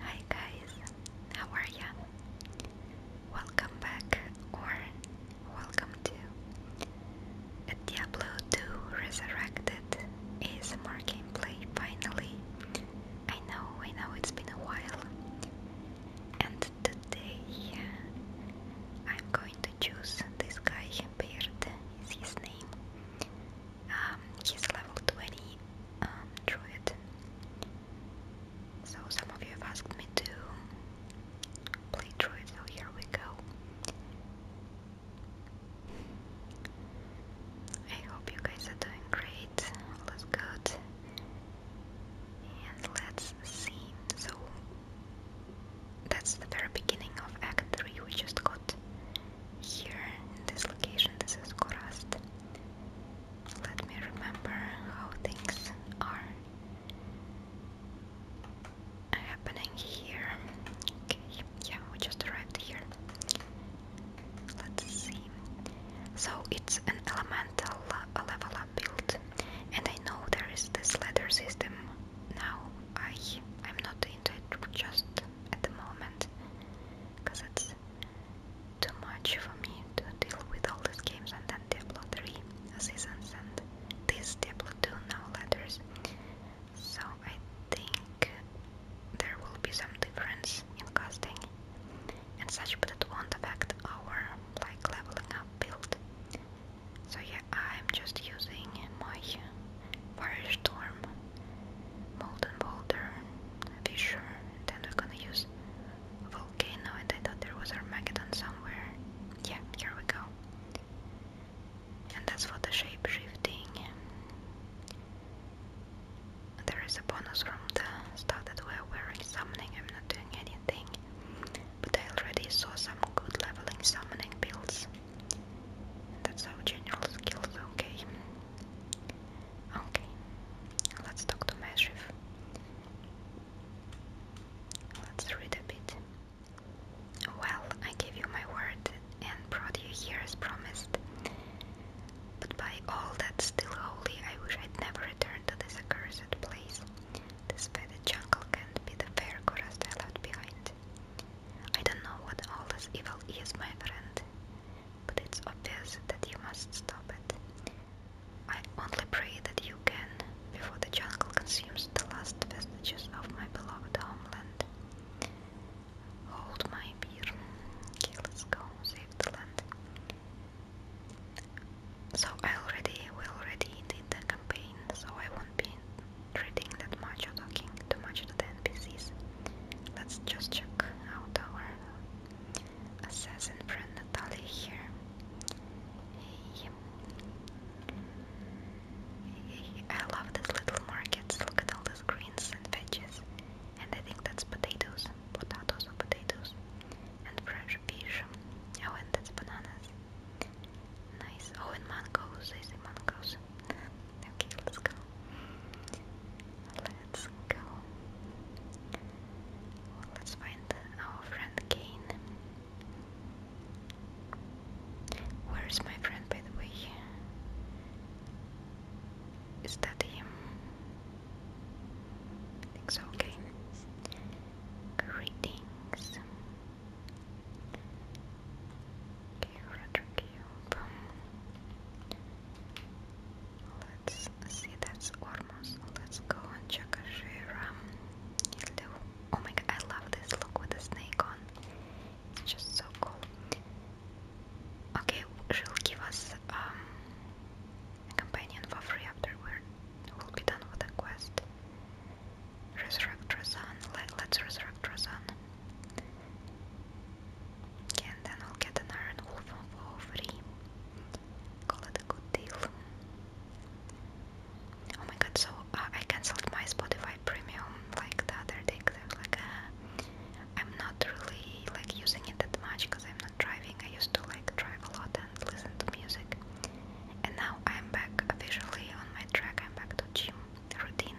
Hi guys, how are you? Welcome back or welcome to a Diablo 2 Resurrected is more gameplay finally. I know, I know it's been a while. And today I'm going to choose this guy, Beard is his name. Um, he's level 20 um, druid. So some of you have asked me to play druid, so here we go. I hope you guys are doing great. All is good. And let's see. So that's the very beginning of Act 3. We just got here in this location. This is Korast. Let me remember how things are happening here. Okay, yeah, we just arrived here. Let's see. So it's an elemental level up build, and I know there is this ladder system now. I I'm not into it just at the moment because it's too much for me to deal with all these games and then Diablo 3 seasons and this Diablo 2 now letters. So I think there will be some difference in casting and such but it won't affect our like leveling up build. So yeah, I'm just using my Firestorm, Molten Boulder, Fisher, then we're gonna use Volcano, and I thought there was Armageddon somewhere. Yeah, here we go. And that's for the shape There is a bonus from the stuff that we're wearing summoning. I'm not doing anything, but I already saw some good leveling summoning builds. That's how general skills, okay. Okay, let's talk to Meshif. Let's read a bit. Well, I gave you my word and brought you here as promised. But by all that's still holy, I wish I'd never returned to this accursed place. This fetid jungle can't be the fair Gorast I left behind. I don't know what all this evil is, my friend, but it's obvious that you must stop it. I only pray that you can, before the jungle consumes the last vestiges of my beloved homeland. Hold my beer. Okay, let's go save the land. So I already, we already did the campaign, so I won't be reading that much or talking too much to the NPCs. Let's just check out our Assassin friend Natalie here. I love these little markets. Look at all these greens and veggies. And I think that's potatoes. Potatoes or potatoes. And fresh fish. Oh, and that's bananas. Nice. Oh, and mangoes. I see mangoes. okay, let's go. Let's go. let's find our friend Kane. Where is my friend, by the way? Is that him? I think so, okay. Greetings. Okay, Roger Let's see, that's Ormos. Let's go and check Ashira. Hildu. Oh my god, I love this look with the snake on. It's just so cool. Okay, she'll give us um, a companion for free after we're, will be done with the quest. Resurrect Razan. Let, us resurrect Razan and then I'll an Iron Wolf for free. Call it a good deal. Oh my god, so uh, I cancelled my Spotify Premium like the other day because like, ah, I'm not really like using it that much because I'm not driving. I used to like drive a lot and listen to music. And now I'm back officially on my track. I'm back to gym routine.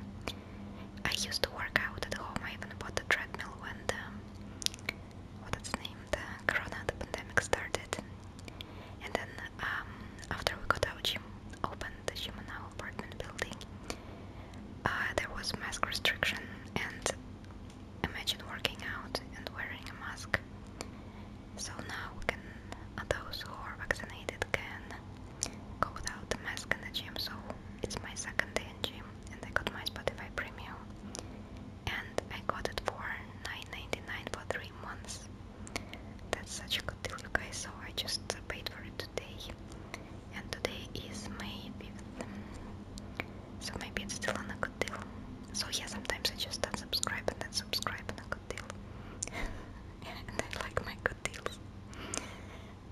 I used to work out at home. I even bought a treadmill when what its name, the corona, the pandemic started, and then um, after we got our gym opened the gym in our apartment building, uh, there was mask restriction, and imagine working out and wearing a mask. So now we can, uh, those who are vaccinated can go without a mask in the gym. So it's my second day in gym and I got my Spotify Premium, and I got it for 9.99 for three months. That's such a good deal, you guys. So I just paid for it today, and today is May 5th, so maybe it's still on a good deal. So yeah, sometimes I just unsubscribe and then subscribe on a good deal, and I like my good deals.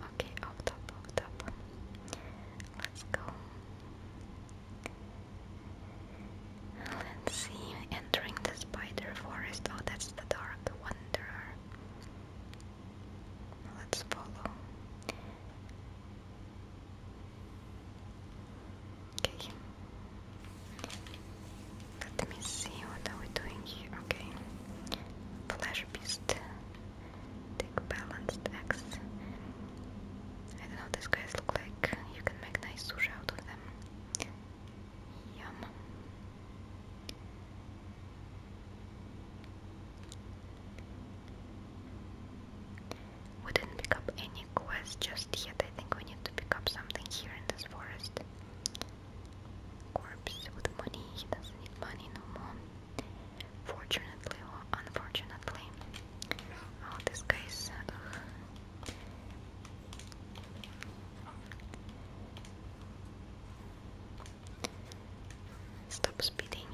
Okay, off top, off top. Let's go. Let's see, entering the spider forest. Oh, that's the dark wanderer. Let's follow. Okay. Let me see what are we doing here. Okay. Flash beast. Take balanced axe. I don't know, these guys look like you can make nice sushi out of them. Yum. We not pick up any quests just yet. I think we need to pick up something here in this forest. Corpse with money. does need money no more. Fortunately or unfortunately, uh, this guy's. Uh, speeding.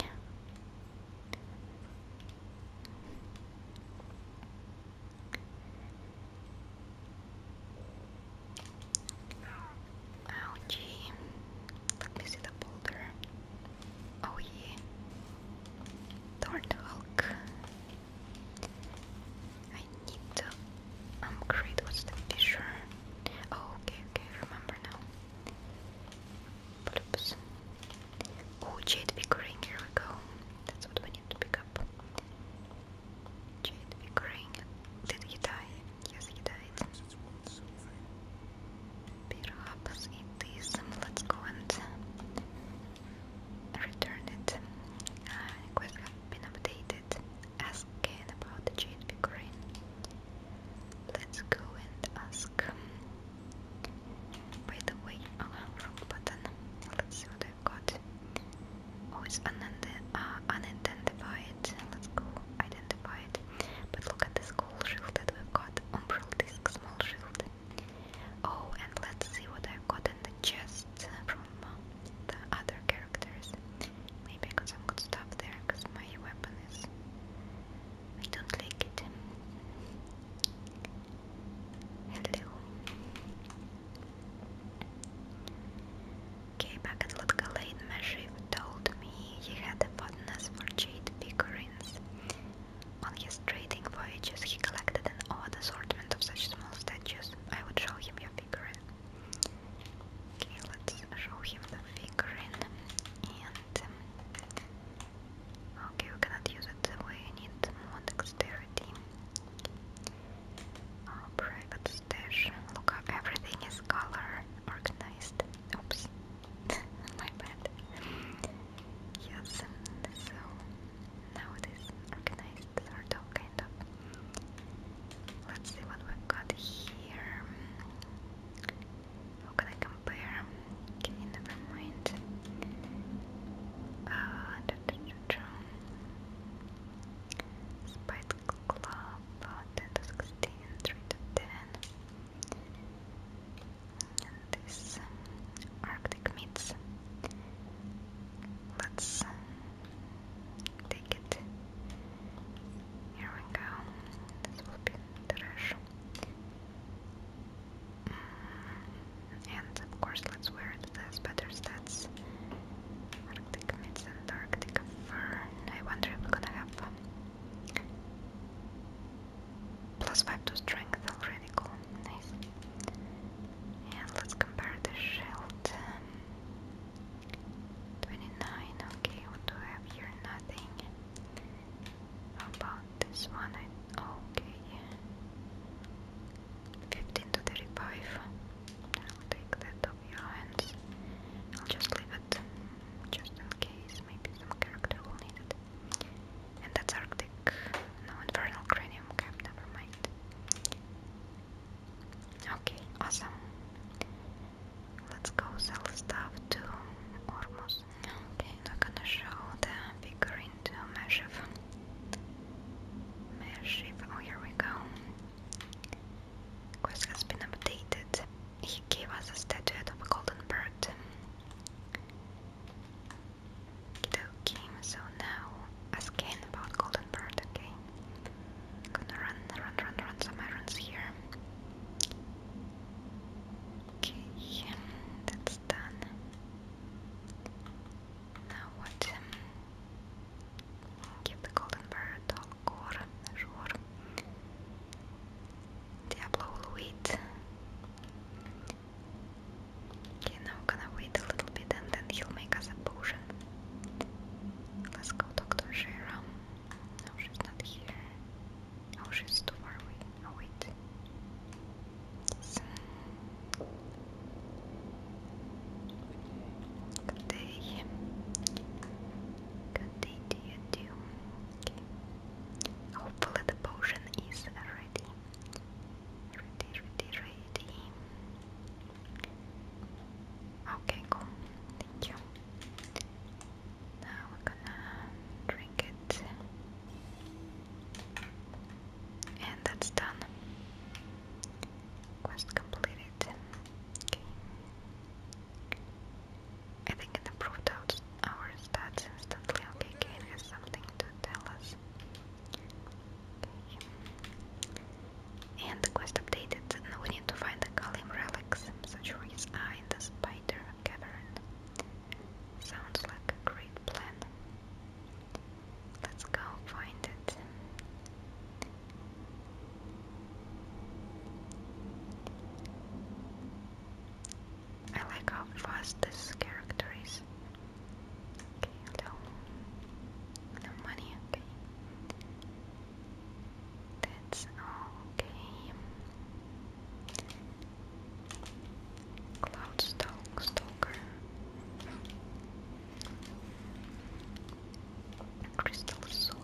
Ouchie. Let me the boulder. Oh yeah. Thorned Hulk. I need to upgrade. What's the fisher? Oh, okay, okay, remember now. Oops. Oh, Jade Pickering, here we go. That's what we need to pick up. Jade Pickering. Did he die? Yes, he died. Perhaps it is. Um, let's go and uh, return it. Uh, quest have Ask Ken about the jade figurine. Let's go and ask. Um, by the way, oh, wrong button. Let's see what i got. Oh, it's unident uh, unidentified. Let's go identify it. But look at this gold shield that we got. Umbral disc, small shield. Oh, and let's see what I've got in the chest from the other characters. Maybe I got some good stuff there, because my weapon is... I don't like it. Hello. Okay, back at Lutgalane, Meshiv told me he had a fondness for jade figurines on his trading voyages, he collected an odd assortment of such small statues. I would show him your figurine. let's show him the figurine. Um, okay, we cannot use it that way. I need more dexterity. Oh, private stash. Look how everything is color organized. Oops, my bad. Yes, so now it is organized, sort of, Let's see what we've got here. How can I compare? Okay, never mind. Uh, da -da -da 10 to 16, 3 to 10 and this Arctic meats. Let's take it. Here we go. This will be trash. Mm, and of course, let's wear it. It has better stats. Arctic meats and Arctic fur. I wonder if we're gonna Plus 5 to strength already, cool, nice. And let's compare the shield. 29, okay, what do I have here? Nothing. about this one? okay. 15 to 35. I'll take that off your hands. I'll just leave it just in case. Maybe some character will need it. And that's Arctic. No, Infernal Cranium Cap, never mind. Okay, awesome. Let's go sell stuff to Ormus. Okay, we're gonna show the figure into Meshiv. Meshiv, oh here we go. Quest has been updated. He gave us a statuette of a golden bird game, so now a scan about Golden Bird, okay? Gonna run, run, run, run some errands here. Okay, that's done. Now what? Um, give the Golden Bird all core, Diablo wait. Okay, now we're gonna wait a little bit and then he'll make us a potion. Let's go talk to Shira. she's not here. Oh, she's too far away. wait. Good day. Good day to you too. Okay. Hopefully the potion is ready. Ready, ready, ready. Okay, cool. Thank you. Now we're gonna drink it. And that's done. Quest completed. Okay. I think it improved out our stats instantly. Okay, Kane has something to tell us. And the quest updated. we need to find the Kalim relics, such as are in the Spider Cavern. Sounds like a great plan. Let's go find it. I like how fast this character is. Okay, hello. No money, okay. That's okay. Cloud stalker. Crystal sword.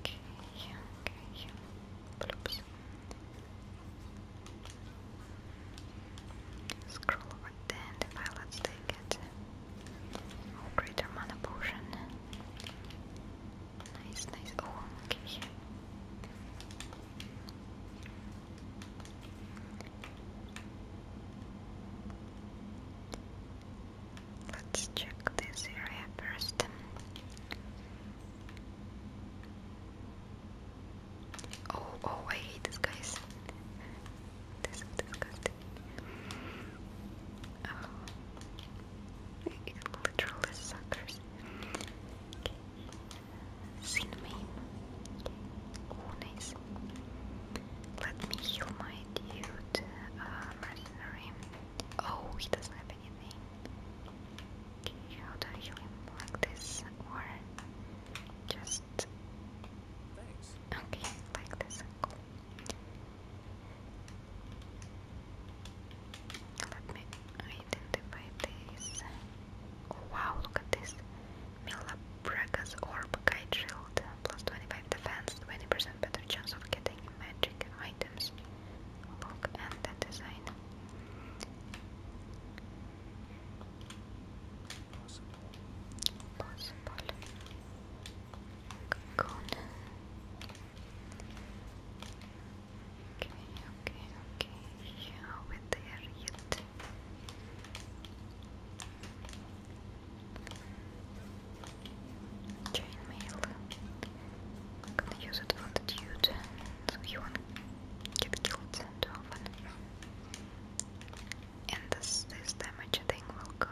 Okay, okay. Bloops. Scroll over the pilot's take it. Oh, oh, greater mana potion. Nice, nice. Oh, okay. Let's check this area first. Oh, oh, I hate this, guys. This is disgusting. Oh. suckers. Okay. Cinnamon. Oh, nice. Let me heal my dude, uh, mercenary. Oh, he doesn't have anything. How do I heal him? Like this? Or just. Okay, like this. Let me identify this. wow, look at this. Milabraga's Orb Guide Shield. Plus 25 defense, 20% better chance of getting magic items. Look the design. Possible. Possible. Okay, okay, okay. Yeah, we're there yet. Chainmail. I'm gonna use it on the dude, so he won't get killed too often. And this, this damage thing will go,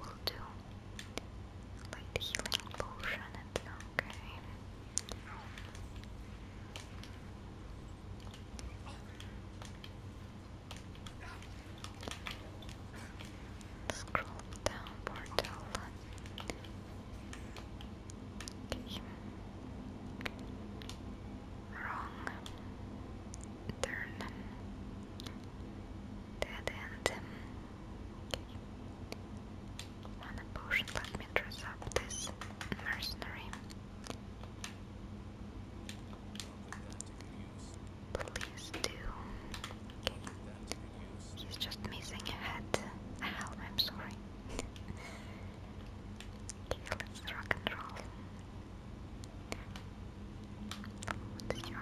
will do light healing potion, okay. Scroll down portal. Okay. Wrong turn. Dead end. Okay. potion. Let me dress up this mercenary. Please do. He's just missing a head, A helm, I'm sorry. okay, let's rock and roll. Let's know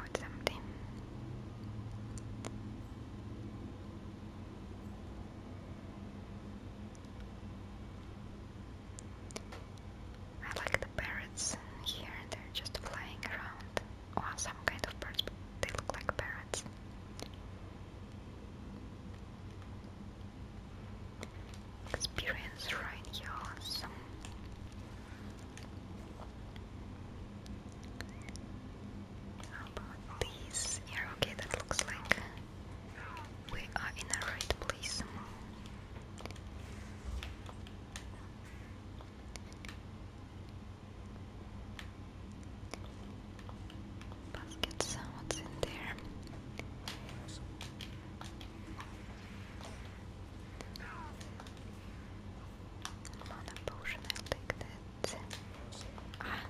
I like the parrots here, they're just flying around or some kind of birds, they look like parrots. Experience right here, How about these? Yeah, okay, that looks like we are in the right place. Basket sounds in there. Mana I'll take that. Ah.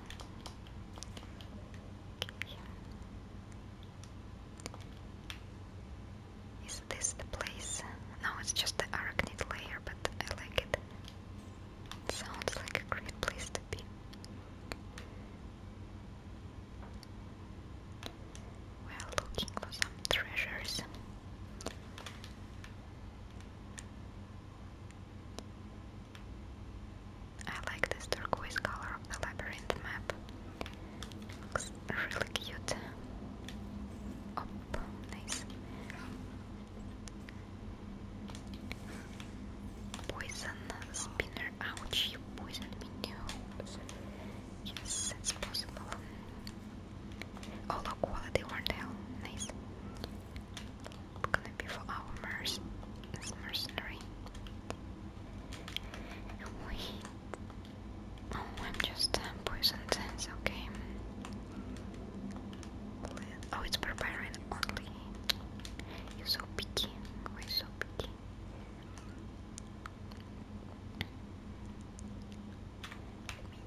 Is this the place? No, it's just the arachnid layer, but I like it. Sounds like a great place to be. We looking for some treasures. I like this turquoise color of the labyrinth map. Looks really cute. Oh, nice. Poison spinner, ouch, you poisoned me, no. Yes, that's possible. Oh look, quality were nice. Gonna be for our merc this mercenary. Wait. Oh, I'm just uh, poisoned, it's okay. Oh, it's barbarian only. You're so picky. Why oh, so picky?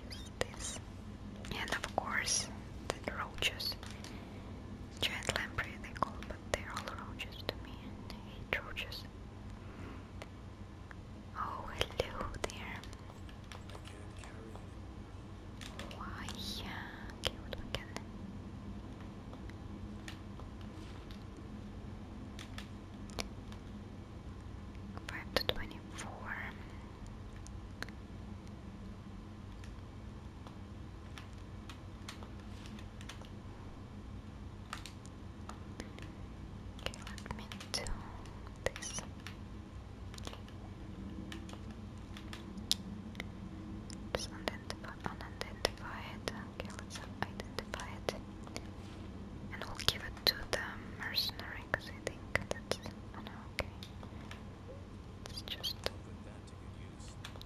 Let me use this. And of course, the roaches. Giant lamprey they call, but they're all roaches to me. I hate roaches. Oh, hello there. Why? Okay, what do I get? Five to twenty-four. let me do this. It's unidentified. unidentified. Okay, let identify it. And we'll give it to the mercenary because I think that's. Oh okay. It's just.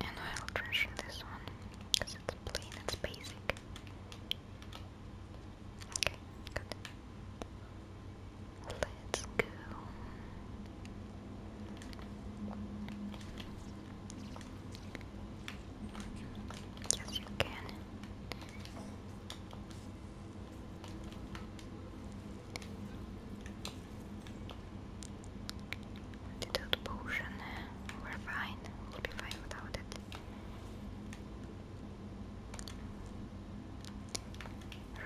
And I'll trash this one because it's plain, it's basic. Okay, good. Let's go. Yes, you can. Without potion, we're fine. We'll be fine without it.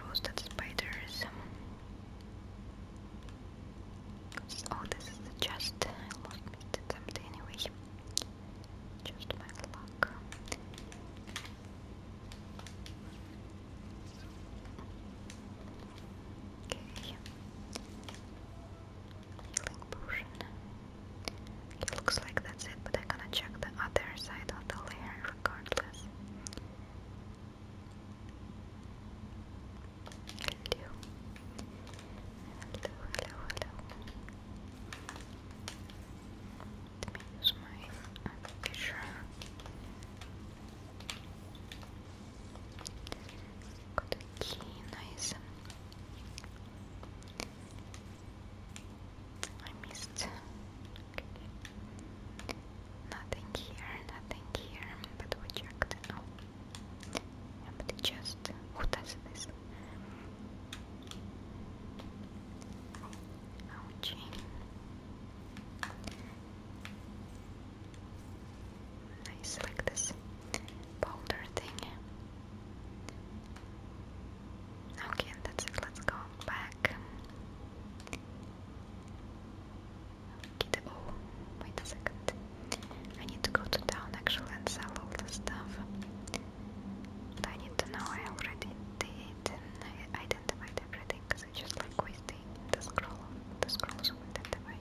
Roasted spiders. Oh, this is the chest. I anyway. Just my luck. Okay. Healing potion. It looks like that's it, but I'm gonna check the other side of the layer regardless. Hello. Hello, hello, hello. Let use my picture. Got a nice. I missed. Nothing here, nothing here, but we checked. Oh. Yeah, but it just. Who does this? Ouchie. I select this boulder thing. Okay, that's it. Let's go back. Okay, oh, wait a second. I need to go to town actually and sell all the stuff. But I need to know I already did I identified everything because I just like wasting the scroll the scrolls of identify.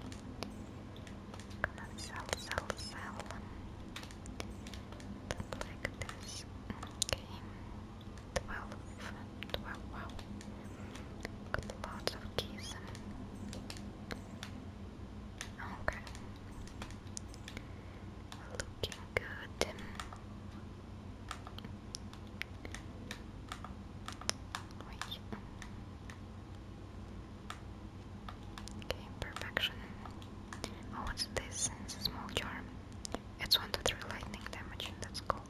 Gonna sell, sell, sell. Like this. Okay. 12, wow. Got lots of keys Okay. Looking good. Wait. Okay, perfection. Oh, what's this? It's a small charm. It's 1 to 3 lightning damage, that's cool.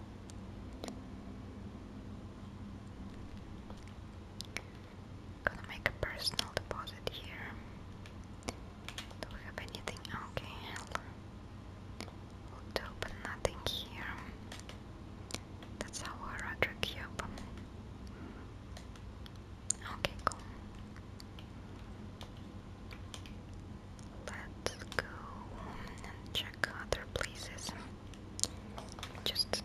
Gonna make a personal deposit here. Do we have anything? Okay, We'll open nothing here. That's our other cube. Okay, cool. Let's go and check other places. Just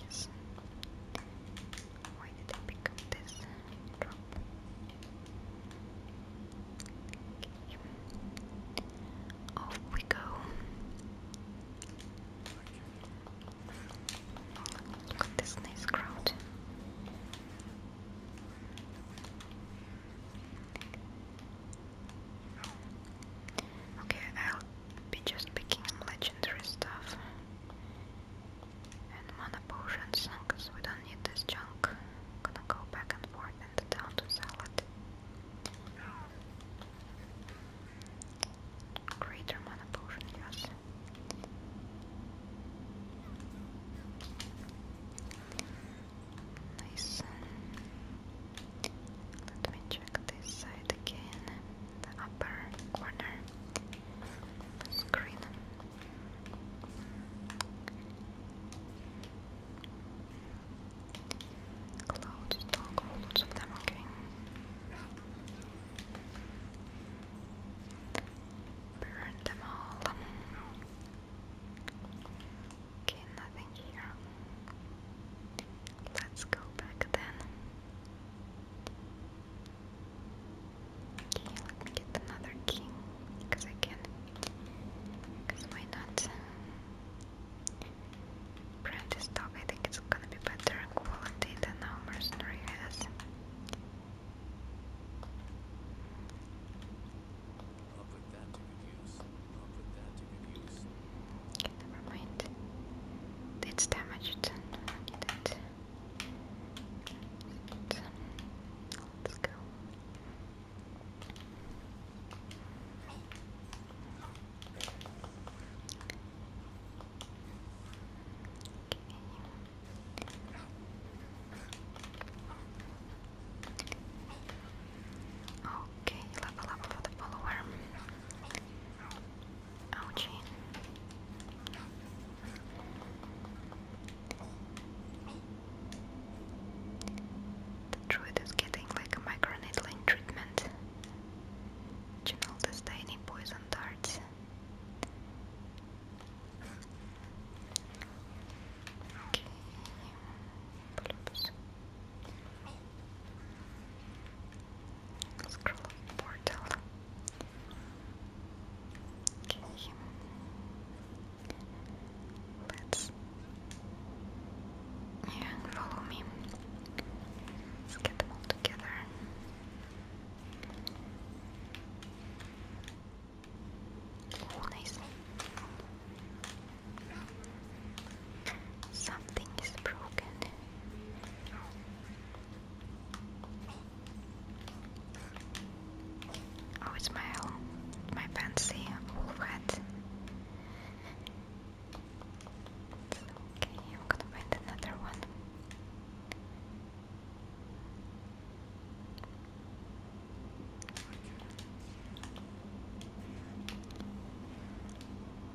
yes. Why did drop? Off we go. Look at this nice crowd. Okay, I'll be just picking legendary stuff and mana potions because we don't need this junk. Gonna go back and forth and down to salad. Greater mana potion, Nice. Let me check this side again. The upper corner screen. Cloud toggle, lots of them, okay. Burn them all. Okay, nothing here. Let's go back then. Okay, let me get another key because I can. Because why not? Prentice dog, I think it's gonna be better quality than our mercenary has i put that to good use. i put that to good use. never mind. It's damaged. need it. Let's go. Okay, level up for the follower. Ouchie. druid is getting like a micro microneedling treatment. Channel this tiny poison darts. Okay. Pull-ups. Scroll portal. Okay. Let's yeah, follow me. Let's get them all together. Oh, nice. Something is broken. Oh, it's my my fancy wolf hat. okay, I'm gonna find another one.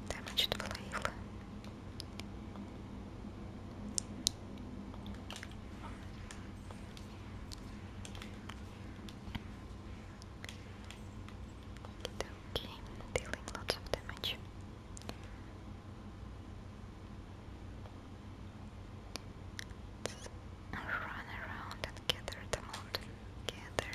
Damaged flail. Okay, dealing lots of damage. run around and gather them all gather.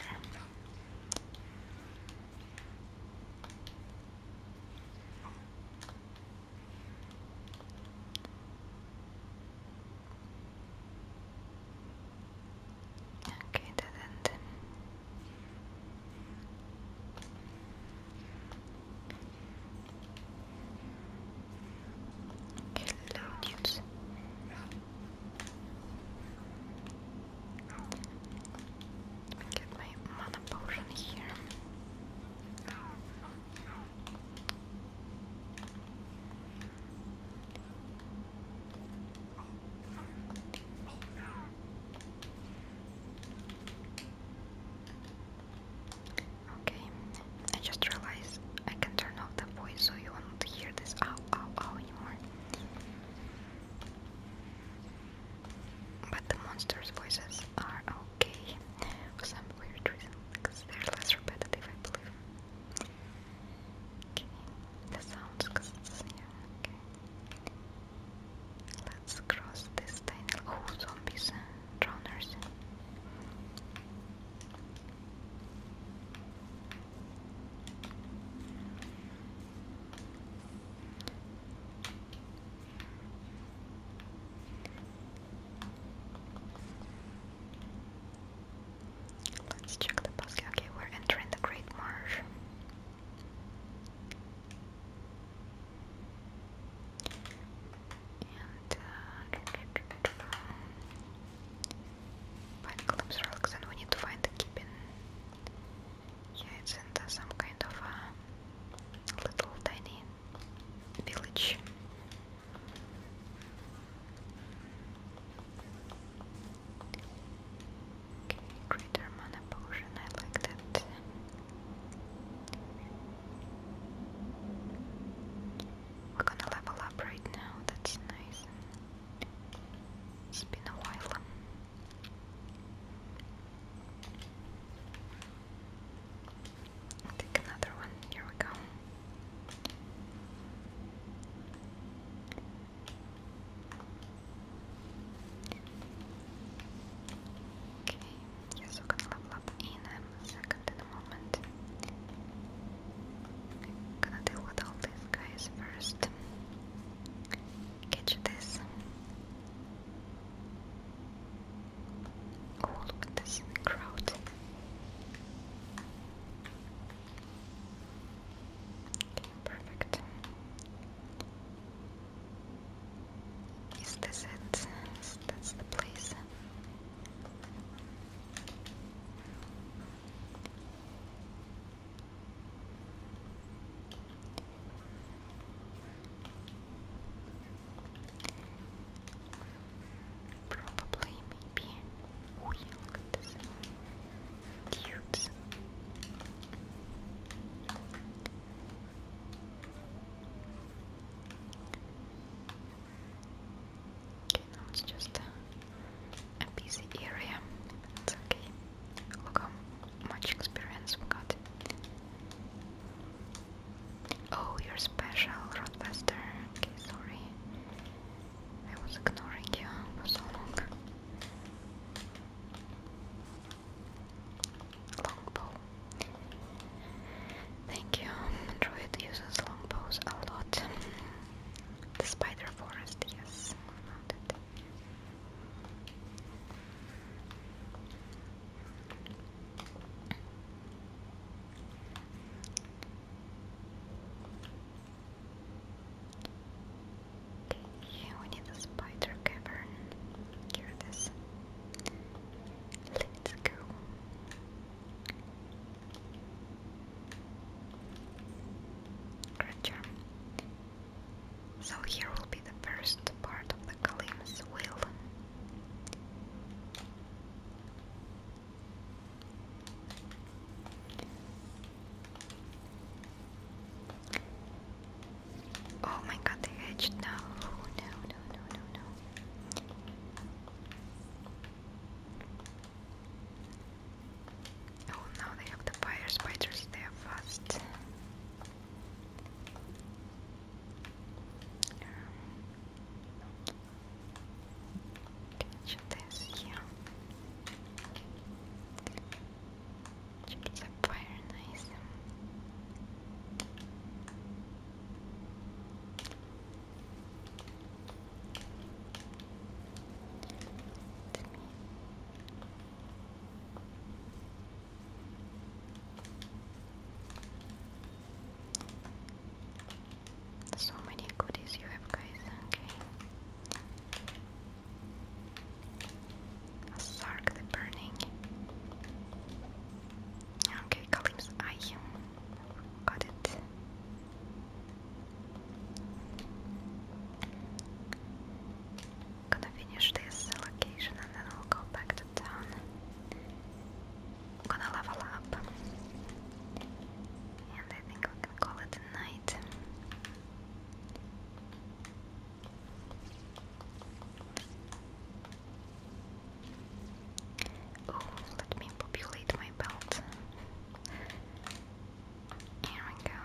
Okay, that ended. Hello, dudes. Get my mana potion here. Okay, I just realized I can turn off the voice so you won't hear this ow ow ow but the monsters' voices are okay for some weird reason, because they're less repetitive, I believe. Okay, the sounds, okay. Let's cross this tiny. Oh, zombies, drowners. Let's check the bus. Okay, we're entering the Great Marsh. Uh, Find we need to find the keeping. Yeah, it's in some kind of a uh, little tiny village. greater mana potion, I like that. We're gonna level up right now, that's nice. It's been a while. Take another one. Here we go. Okay, yes, gonna level up in a second in a moment. Gonna deal with all these guys first. Catch this. Oh, look at this crowd. Okay, perfect. Is this it? Is that's the place. Probably maybe we some Okay, now it's just a, busy area. It's okay. Look how much experience we got. Oh, you're special, Roadbuster. Okay, sorry. I was ignoring you for so long. Longbow. Thank you. Android uses longbows a lot. The spider forest, yes so mad we need a spider cavern. Here it is. Let's go. Creature. So here will be the first part of the Kalim's will. Oh my god, the hedge! No, no, no, no, no, no. Oh, now they have the fire spiders, there first. fast. this, yeah. Check the fire, nice. So many goodies you have, guys. Okay. A the Burning. Okay, Kalim's eye. Got it. Gonna finish this location and then I'll go back to town. gonna level up. And I think we can call it a night. let me populate my belt. Here we go.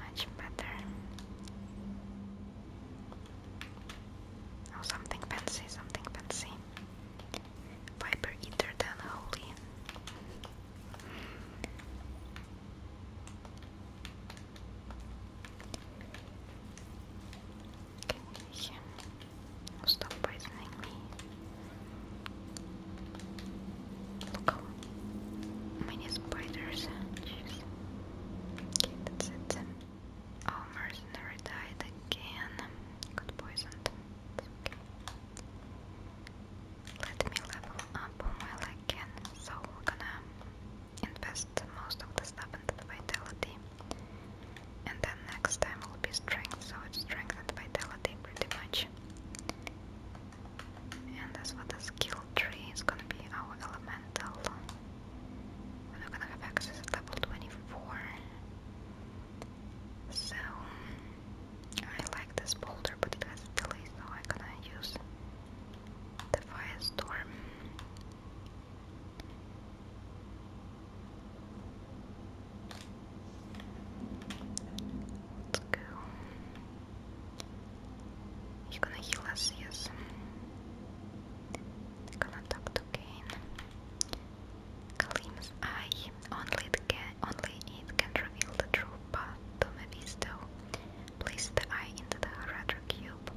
Much better. Oh, something fancy, something fancy. Viper eater than holy. Can Stop poisoning me. Look how many spiders. Jeez. Okay, that's it. Oh, mercenary died again. Got poisoned. Let me level up while I can. So gonna invest most of the stuff into the vitality and then next time will be strength, so it's strength and vitality pretty much. And as for the skill tree, it's gonna be our elemental. We're gonna have access to level 24. So, I like this boulder, but it has a so I'm gonna use the Firestorm. Let's go. He's gonna heal us, yes. They're gonna talk to Kane. Kalim's eye. Only can only it can reveal the true path to Mephisto. Place the eye into the Harada cube.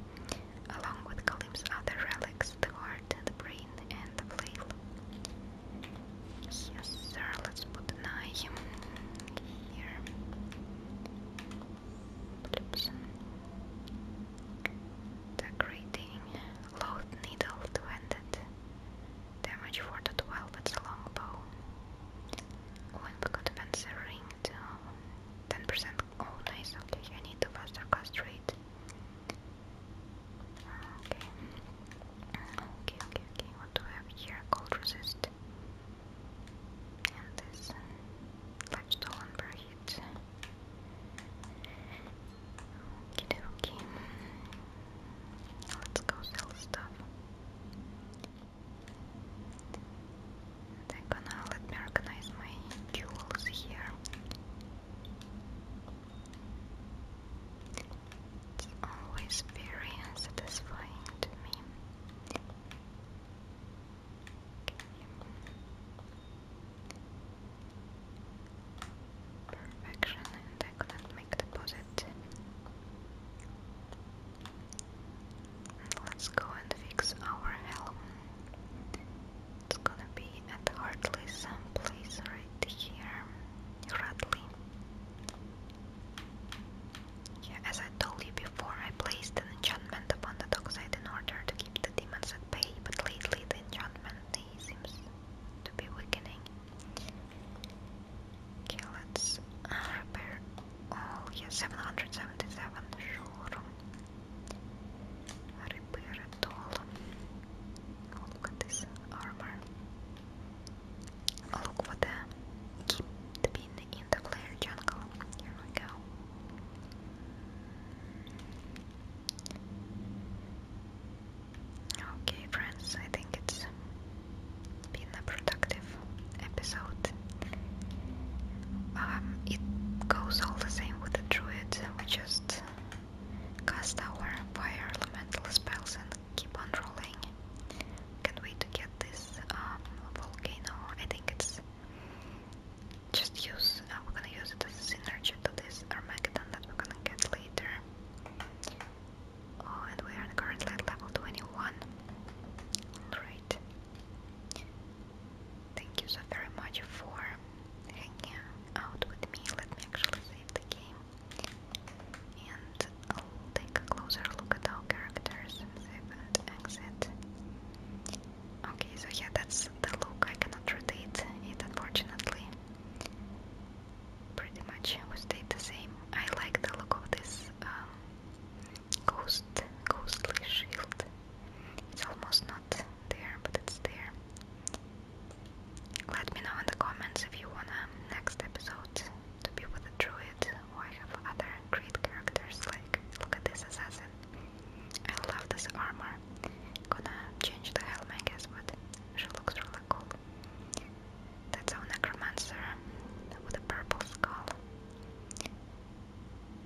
Along with Kalim's other relics, the heart heart, the brain, and the flail. Yes, sir, let's put the knife here. Oops. Decorating load needle to end it. Damage for the 12, but it's a long bow. Oh, and we got a ring too. 10% all nice, okay, I need to faster cast rate. Okay. Okay, okay, okay. What do we have here? Cold resist. And this life stolen per hit. Okay, okay. Let's go sell stuff. They're gonna let me organize my jewels here. It's always very unsatisfying to me. Perfection, and I couldn't make deposit. Let's go and fix our helm. It's gonna be at some place right here. Hartley. as I told you before, I placed an enchantment upon the dockside in order to keep the demons at bay, but lately the enchantment seems to be weakening. Okay, let's uh, repair all. 777, sure. Repair it all. Oh, look at this armor. Oh, look for the keep the in the player jungle. Here we go. Okay, friends, I think it's been a productive episode. Um, it goes all the same with the druid, we just Cast our fire elemental spells and keep on rolling. Can't wait to get this um, volcano. I think it's just use. Uh, we're gonna use it synergy to this Armageddon that we're gonna get later. Oh, and we are currently level 21. Alright. Thank you so very much for hanging out with me. Let me actually save the game. And i take a closer look at all characters save and exit. Okay, so yeah, that's the look. I cannot rotate it, unfortunately. Pretty much we stayed the same. I like the look of this um, ghostly shield. It's almost not there, but it's there. Let me know in the comments if you wanna next episode to be with a druid or I have other great characters like look at this assassin. I love this armor. Gonna change the helmet, I guess but she looks really cool. That's our necromancer with a purple skull.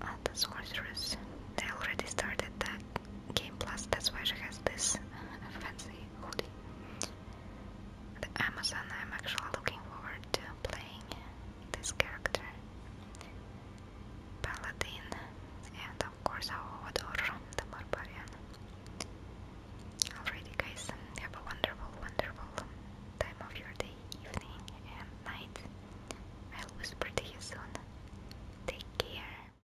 And the sorceress. They already started that Game Plus, that's why she has this fancy hoodie. Amazon, I'm actually looking forward to playing this character. Paladin, and of course our Hodor, the Barbarian. Alrighty guys, have a wonderful, wonderful time of your day, evening and night. I'll whisper to you soon. Take care.